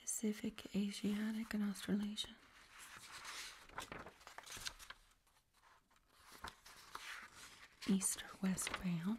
Pacific, Asiatic, and Australasian. East or west bound.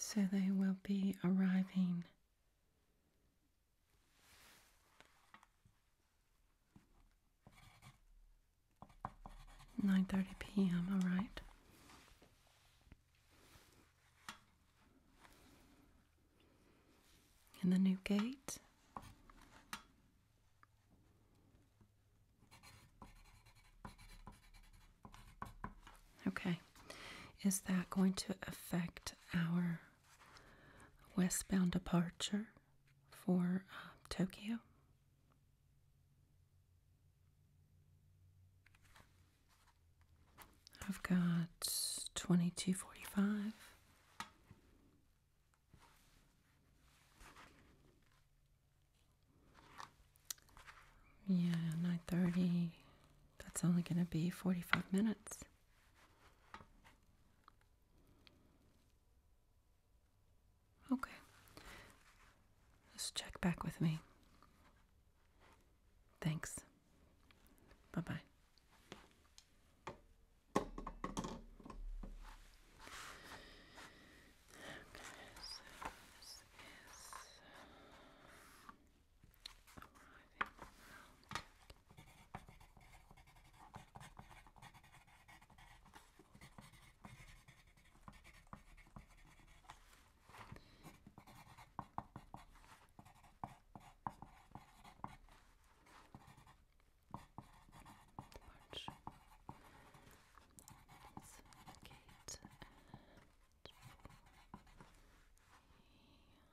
So they will be arriving Nine thirty p.m. All right. And the new gate. Okay. Is that going to affect our westbound departure? for um, Tokyo. I've got 2245. Yeah, 9:30. That's only going to be 45 minutes. Okay. Just check back with me. Thanks. Bye bye. March. It's Kate and he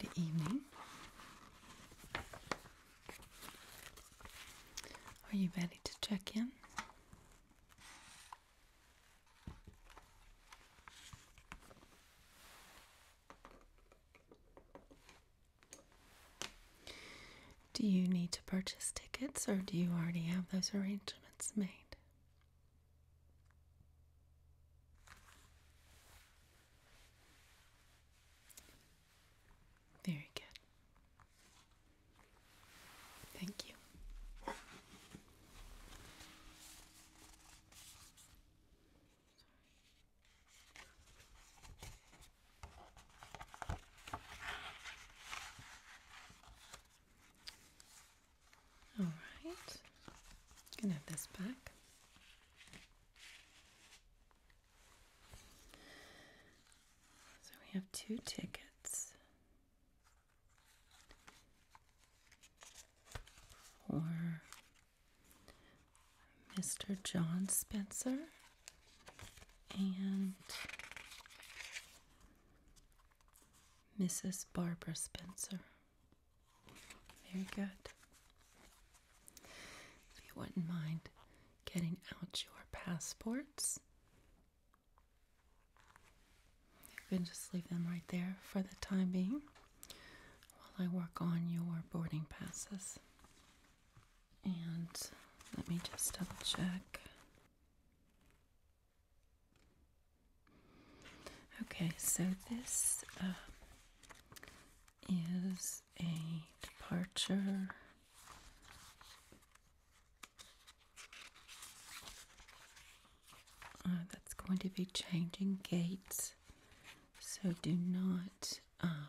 Good evening. Are you ready to check in? Do you need to purchase tickets or do you already have those arrangements made? Very good. Thank you. All right, gonna have this back. So we have two tickets for Mr. John Spencer and Mrs. Barbara Spencer. Very good. If you wouldn't mind getting out your passports, you can just leave them right there for the time being while I work on your boarding passes. And let me just double check. Okay, so this uh, is a departure uh, that's going to be changing gates. So do not uh,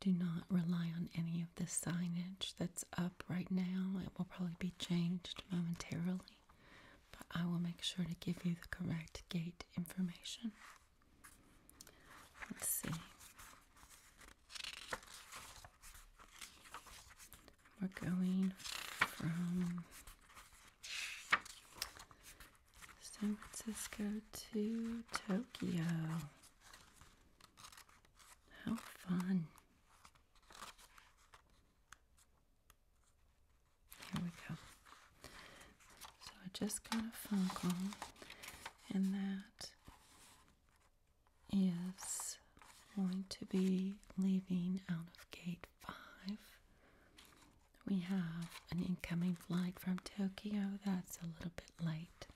do not rely on any of the signage that's up right now. It will probably be changed momentarily, but I will make sure to give you the correct gate information. Let's see. We're going from San Francisco to Tokyo. How fun. Here we go. So I just got a phone call, and that is going to be leaving out of gate five. We have an incoming flight from Tokyo that's a little bit late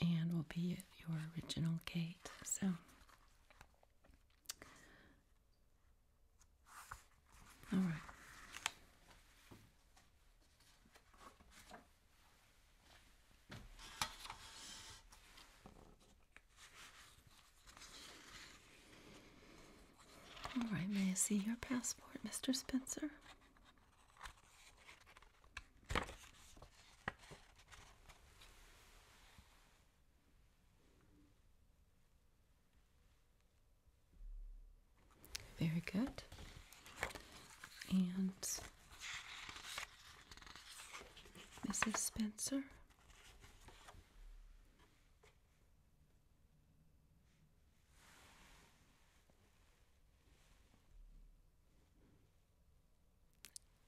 and will be your original gate. So all right. All right, may I see your passport, Mr. Spencer? Very good. And Mrs. Spencer.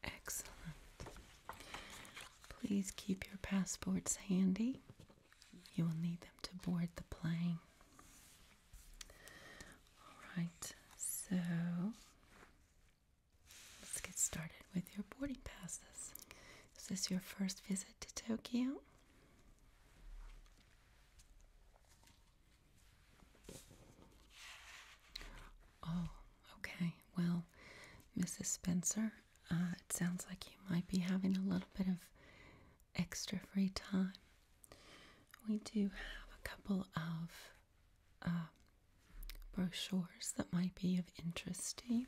Excellent. Please keep your passports handy. You will need them to board the plane. Alright, so let's get started with your boarding passes. Is this your first visit to Tokyo? Oh, okay. Well, Mrs. Spencer, uh, it sounds like you might be having a little bit of extra free time. We do have a couple of uh, brochures that might be of interest to you.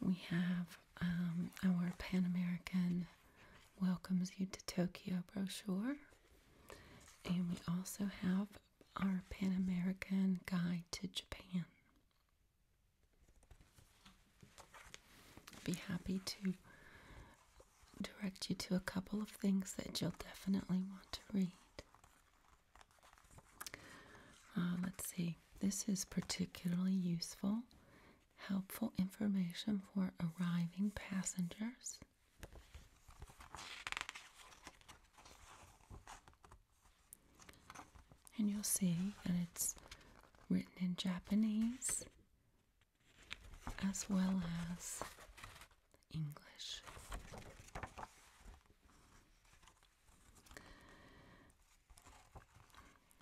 We have um, our Pan American Welcomes You to Tokyo brochure, and we also have our Pan American Guide to Japan. I'd be happy to direct you to a couple of things that you'll definitely want to read. Uh, let's see. This is particularly useful, helpful information for arriving passengers. And you'll see that it's written in Japanese as well as English.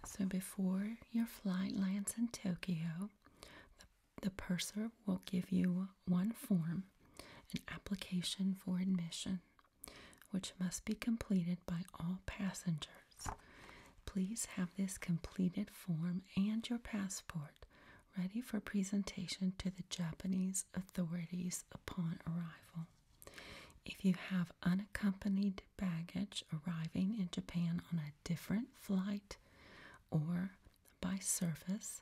So before your flight lands in Tokyo, the, purser will give you one form, an application for admission, which must be completed by all passengers. Please have this completed form and your passport ready for presentation to the Japanese authorities upon arrival. If you have unaccompanied baggage arriving in Japan on a different flight or by service,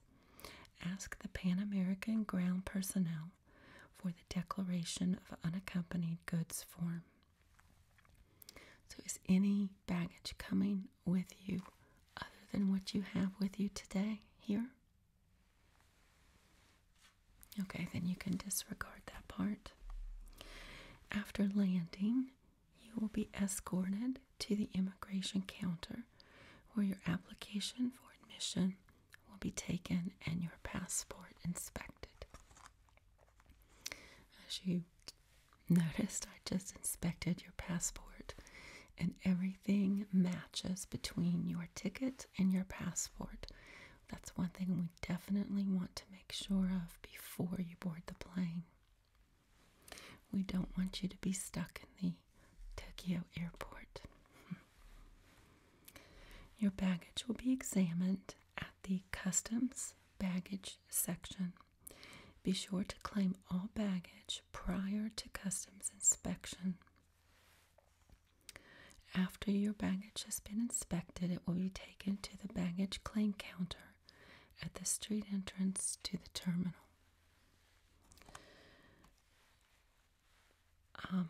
ask the Pan American ground personnel for the Declaration of Unaccompanied Goods form. So, is any baggage coming with you other than what you have with you today here? Okay, then you can disregard that part. After landing, you will be escorted to the immigration counter where your application for admission will be taken and your passport inspected. As you noticed, I just inspected your passport and everything matches between your ticket credit and your passport. That's one thing we definitely want to make sure of before you board the plane. We don't want you to be stuck in the Tokyo airport. Your baggage will be examined at the customs baggage section. Be sure to claim all baggage prior to customs inspection. After your baggage has been inspected, it will be taken to the baggage claim counter at the street entrance to the terminal. Um,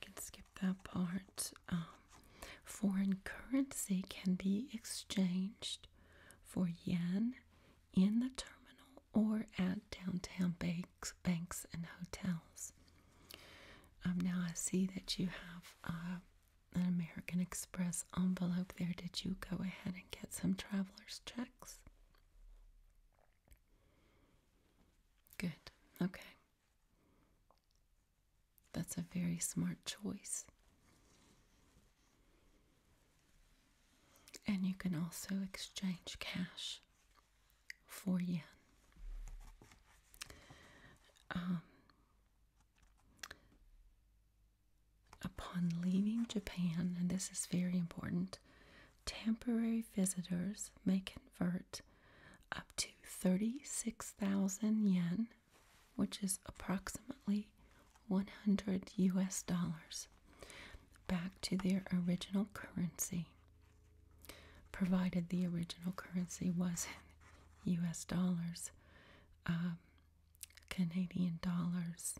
can skip that part. Um, foreign currency can be exchanged for yen in the terminal or at downtown banks, banks and hotels. Um, now I see that you have uh, an American Express envelope there. Did you go ahead and get some traveler's checks? Good. Okay. That's a very smart choice. And you can also exchange cash 4 yen. Um, upon leaving Japan, and this is very important, temporary visitors may convert up to 36,000 yen, which is approximately 100 US dollars, back to their original currency provided the original currency was not US dollars, um, Canadian dollars,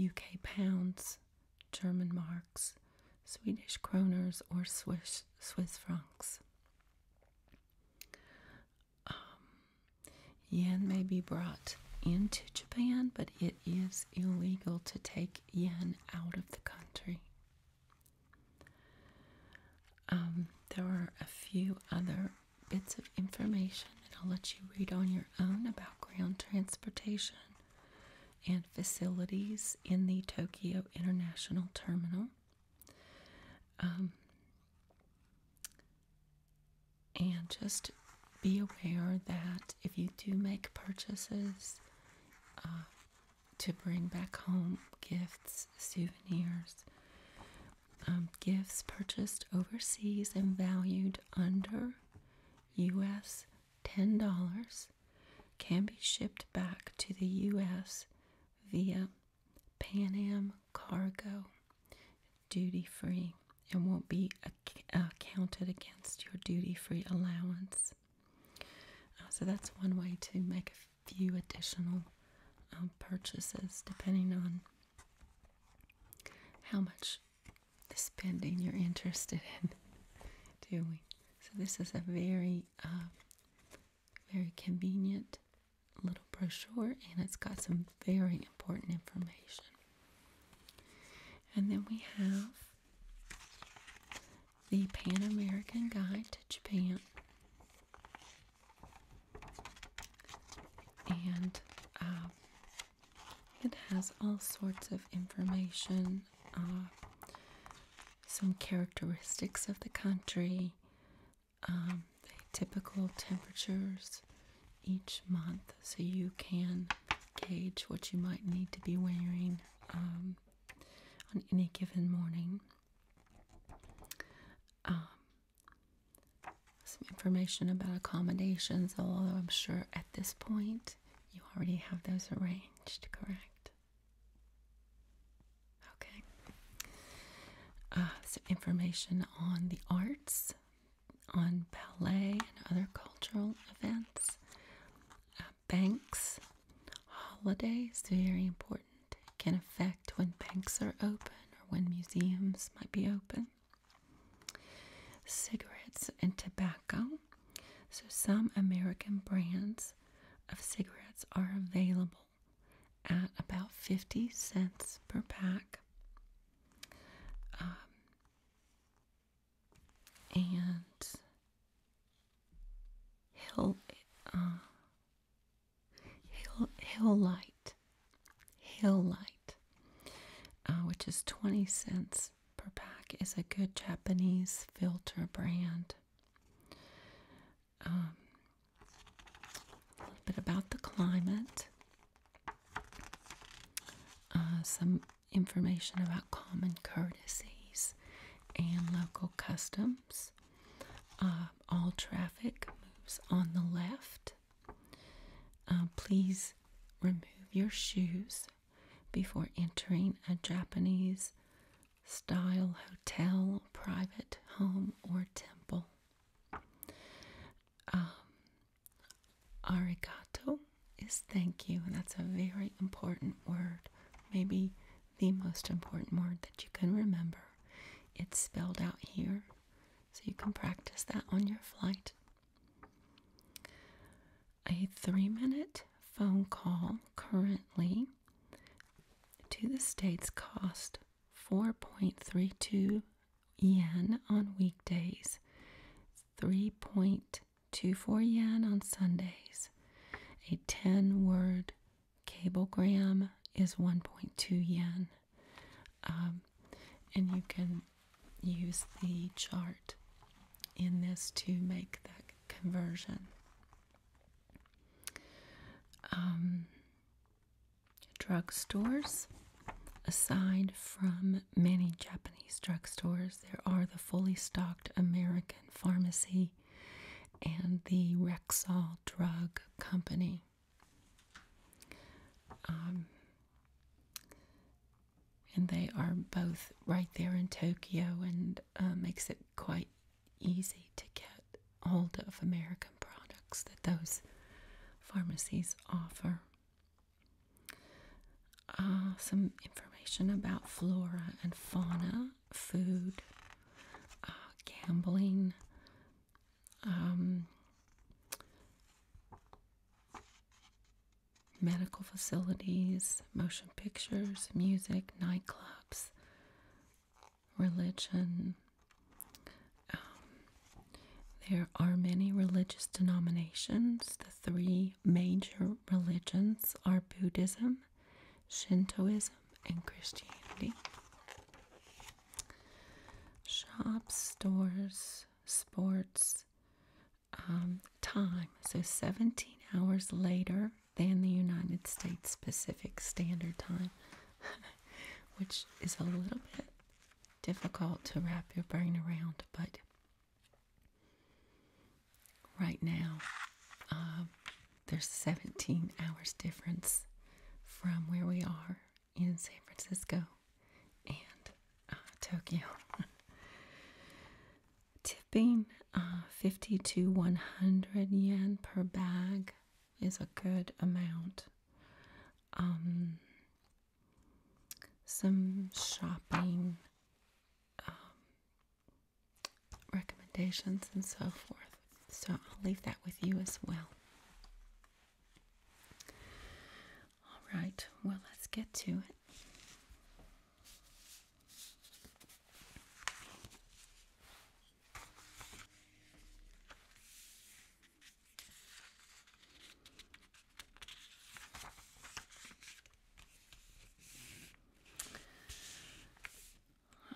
UK pounds, German marks, Swedish kroners, or Swiss, Swiss francs. Um, yen may be brought into Japan, but it is illegal to take yen out of the country. Um, there are a few other bits of information that I'll let you read on your own about ground transportation and facilities in the Tokyo International Terminal. Um, and just be aware that if you do make purchases uh, to bring back home gifts, souvenirs, um, gifts purchased overseas and valued under US $10 can be shipped back to the US via Pan Am cargo duty free and won't be acc- uh, counted against your duty free allowance. Uh, so that's one way to make a few additional um, purchases depending on how much the spending you're interested in doing. So this is a very, uh, very convenient little brochure and it's got some very important information. And then we have the Pan American Guide to Japan. And uh, it has all sorts of information, uh, some characteristics of the country, um, typical temperatures each month, so you can gauge what you might need to be wearing um, on any given morning. Um, some information about accommodations, although I'm sure at this point you already have those arranged, correct? Okay. Uh, some information on the arts, on ballet and other cultural events, banks, holidays, very important. It can affect when banks are open or when museums might be open. Cigarettes and tobacco. So, some American brands of cigarettes are available at about 50 cents per pack. Um, and hill uh, hill hill light hill light uh, which is 20 cents per pack is a good japanese filter brand um, a little bit about the climate uh, some information about common courtesies and local customs. Uh, all traffic moves on the left. Uh, please remove your shoes before entering a Japanese style hotel, private home, or temple. Um, Arigato is thank you, and that's a very important word, maybe the most important word that you can remember. It's spelled out here, so you can practice that on your flight. A three minute phone call currently to the States cost 4.32 yen on weekdays, 3.2 to 4 yen on Sundays. A 10 word cablegram is 1.2 yen. Um, and you can use the chart in this to make the conversion. Um, drugstores aside from many Japanese drugstores, there are the fully stocked American Pharmacy and the Rexall Drug Company. Um, and they are both right there in Tokyo and uh, makes it quite easy to get hold of American products that those pharmacies offer. Uh, some information about flora and fauna, food, uh, gambling, um, medical facilities, motion pictures, music, nightclubs, religion. Um, there are many religious denominations the three major religions are Buddhism, Shintoism, and Christianity. Shops, stores, sports, um, time. So 17 hours later than the United States Pacific Standard Time, which is a little bit difficult to wrap your brain around, but Right now, um, there's 17 hours difference from where we are in San Francisco and uh, Tokyo. Tipping uh, 50 to 100 yen per bag is a good amount. Um, some shopping um, recommendations and so forth. So I'll leave that with you as well. All right, well, let's get to it.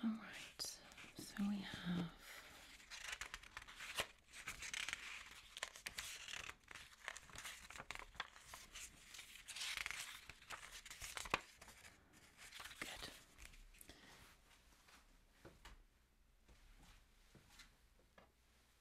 All right, so we have good.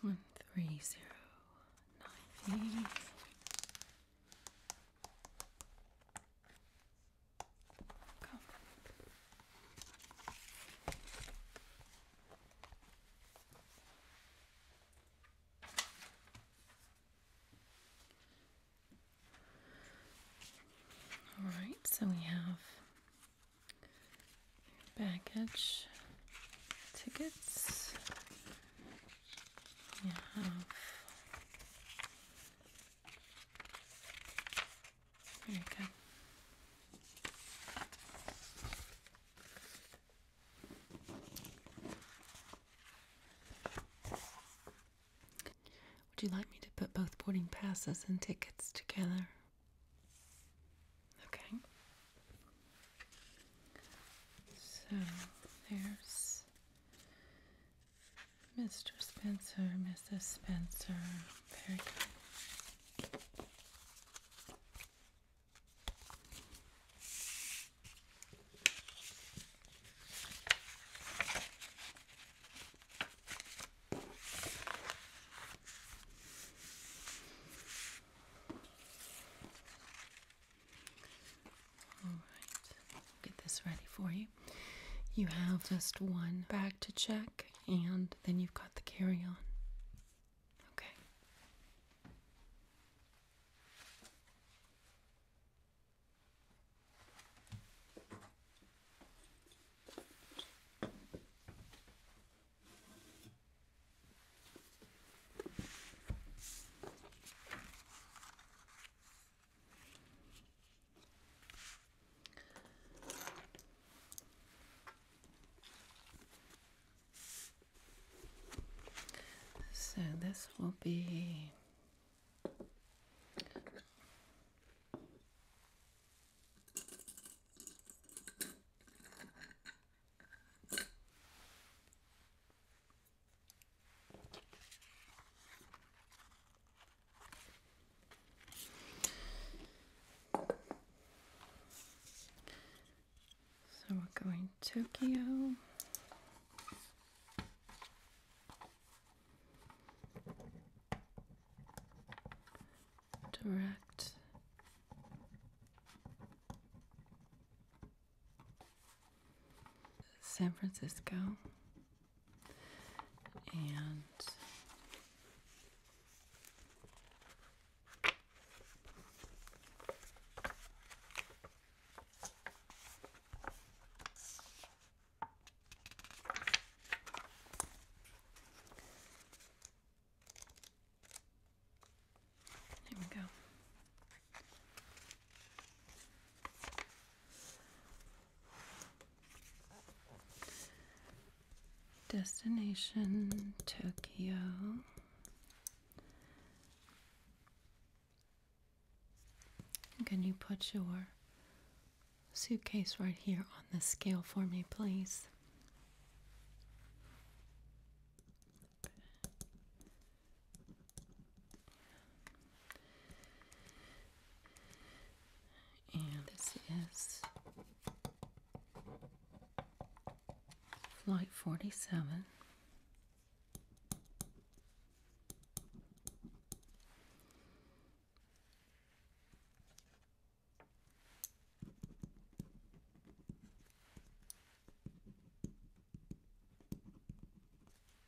One three zero ninety. All right, so we have baggage tickets. We have would you like me to put both boarding passes and tickets together? Okay. So there's Mr. Spencer, Mrs. Spencer. Very good. All get this ready for you you have just one bag to check, and then you've got the carry on. Okay. So this will be so we're going Tokyo. Direct. San Francisco and there we go. Destination Tokyo. Can you put your suitcase right here on the scale for me, please? And this is Flight 47.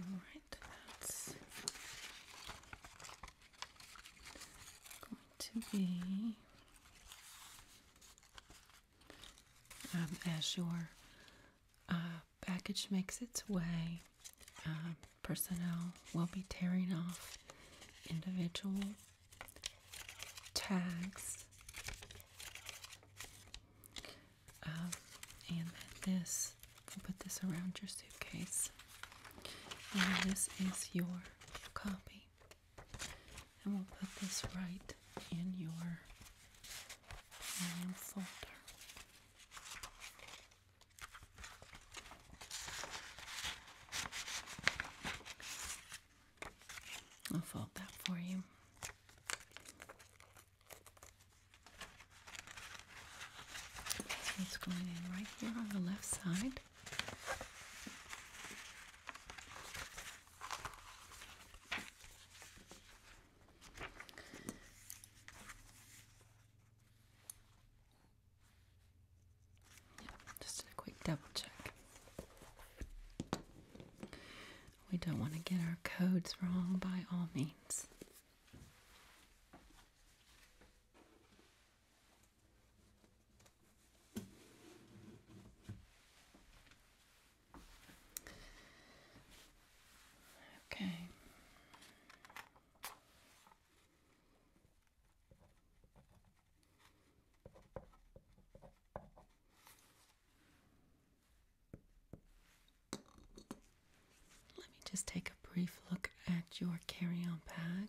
All right, that's going to be um, as your uh, package makes its way. Uh, personnel will be tearing off individual tags, um, and this will put this around your suitcase. And this is your copy and we'll put this right in your plan folder. I'll fold that for you. it's going in right here on the left side. Just a quick double check. We don't want to get our codes wrong by all means. Okay. Let me just take a brief look at your carry on bag.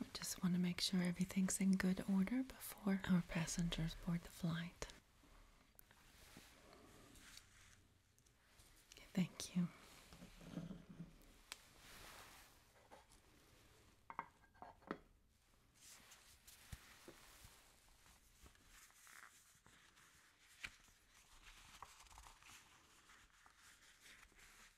We just want to make sure everything's in good order before our passengers board the flight. Thank you.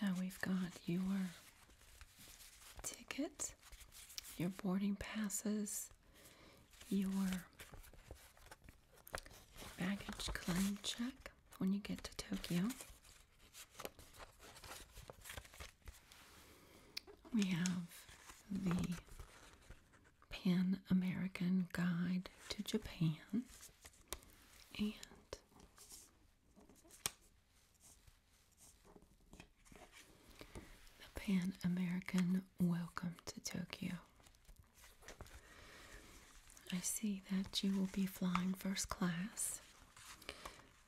So we've got your ticket, your boarding passes, your baggage claim check when you get to Tokyo. We have the Pan American Guide to Japan and the Pan American Welcome to Tokyo. I see that you will be flying first class.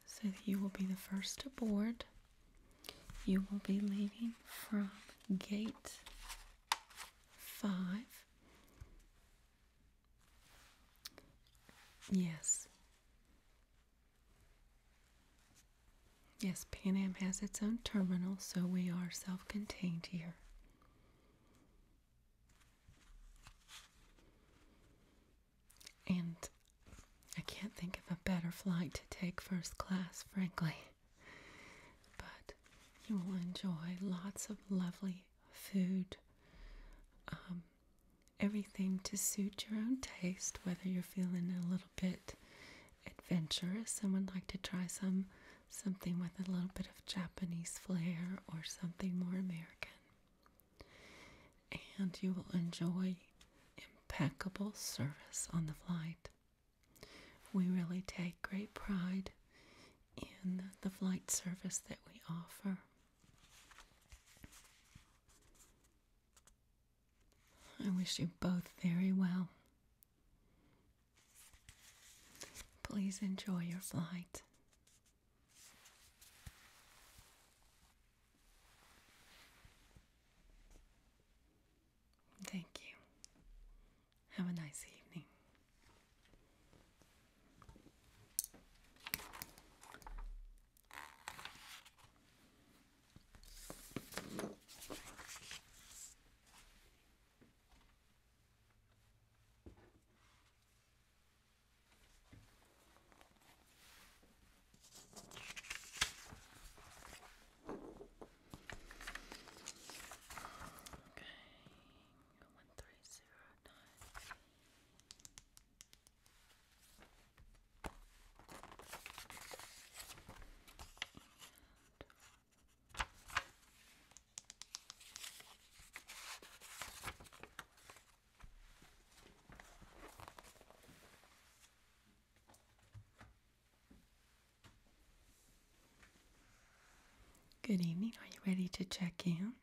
So you will be the first aboard. You will be leaving from gate 5. Yes. Yes, Pan Am has its own terminal, so we are self contained here. And I can't think of a better flight to take first class, frankly. But you will enjoy lots of lovely food, um, everything to suit your own taste, whether you're feeling a little bit adventurous someone like to try some something with a little bit of Japanese flair or something more American and you will enjoy impeccable service on the flight. We really take great pride in the flight service that we offer. I wish you both very well. Please enjoy your flight. Thank you. Have a nice evening. Okay, one three zero nine. And Good evening. Are you ready to check in?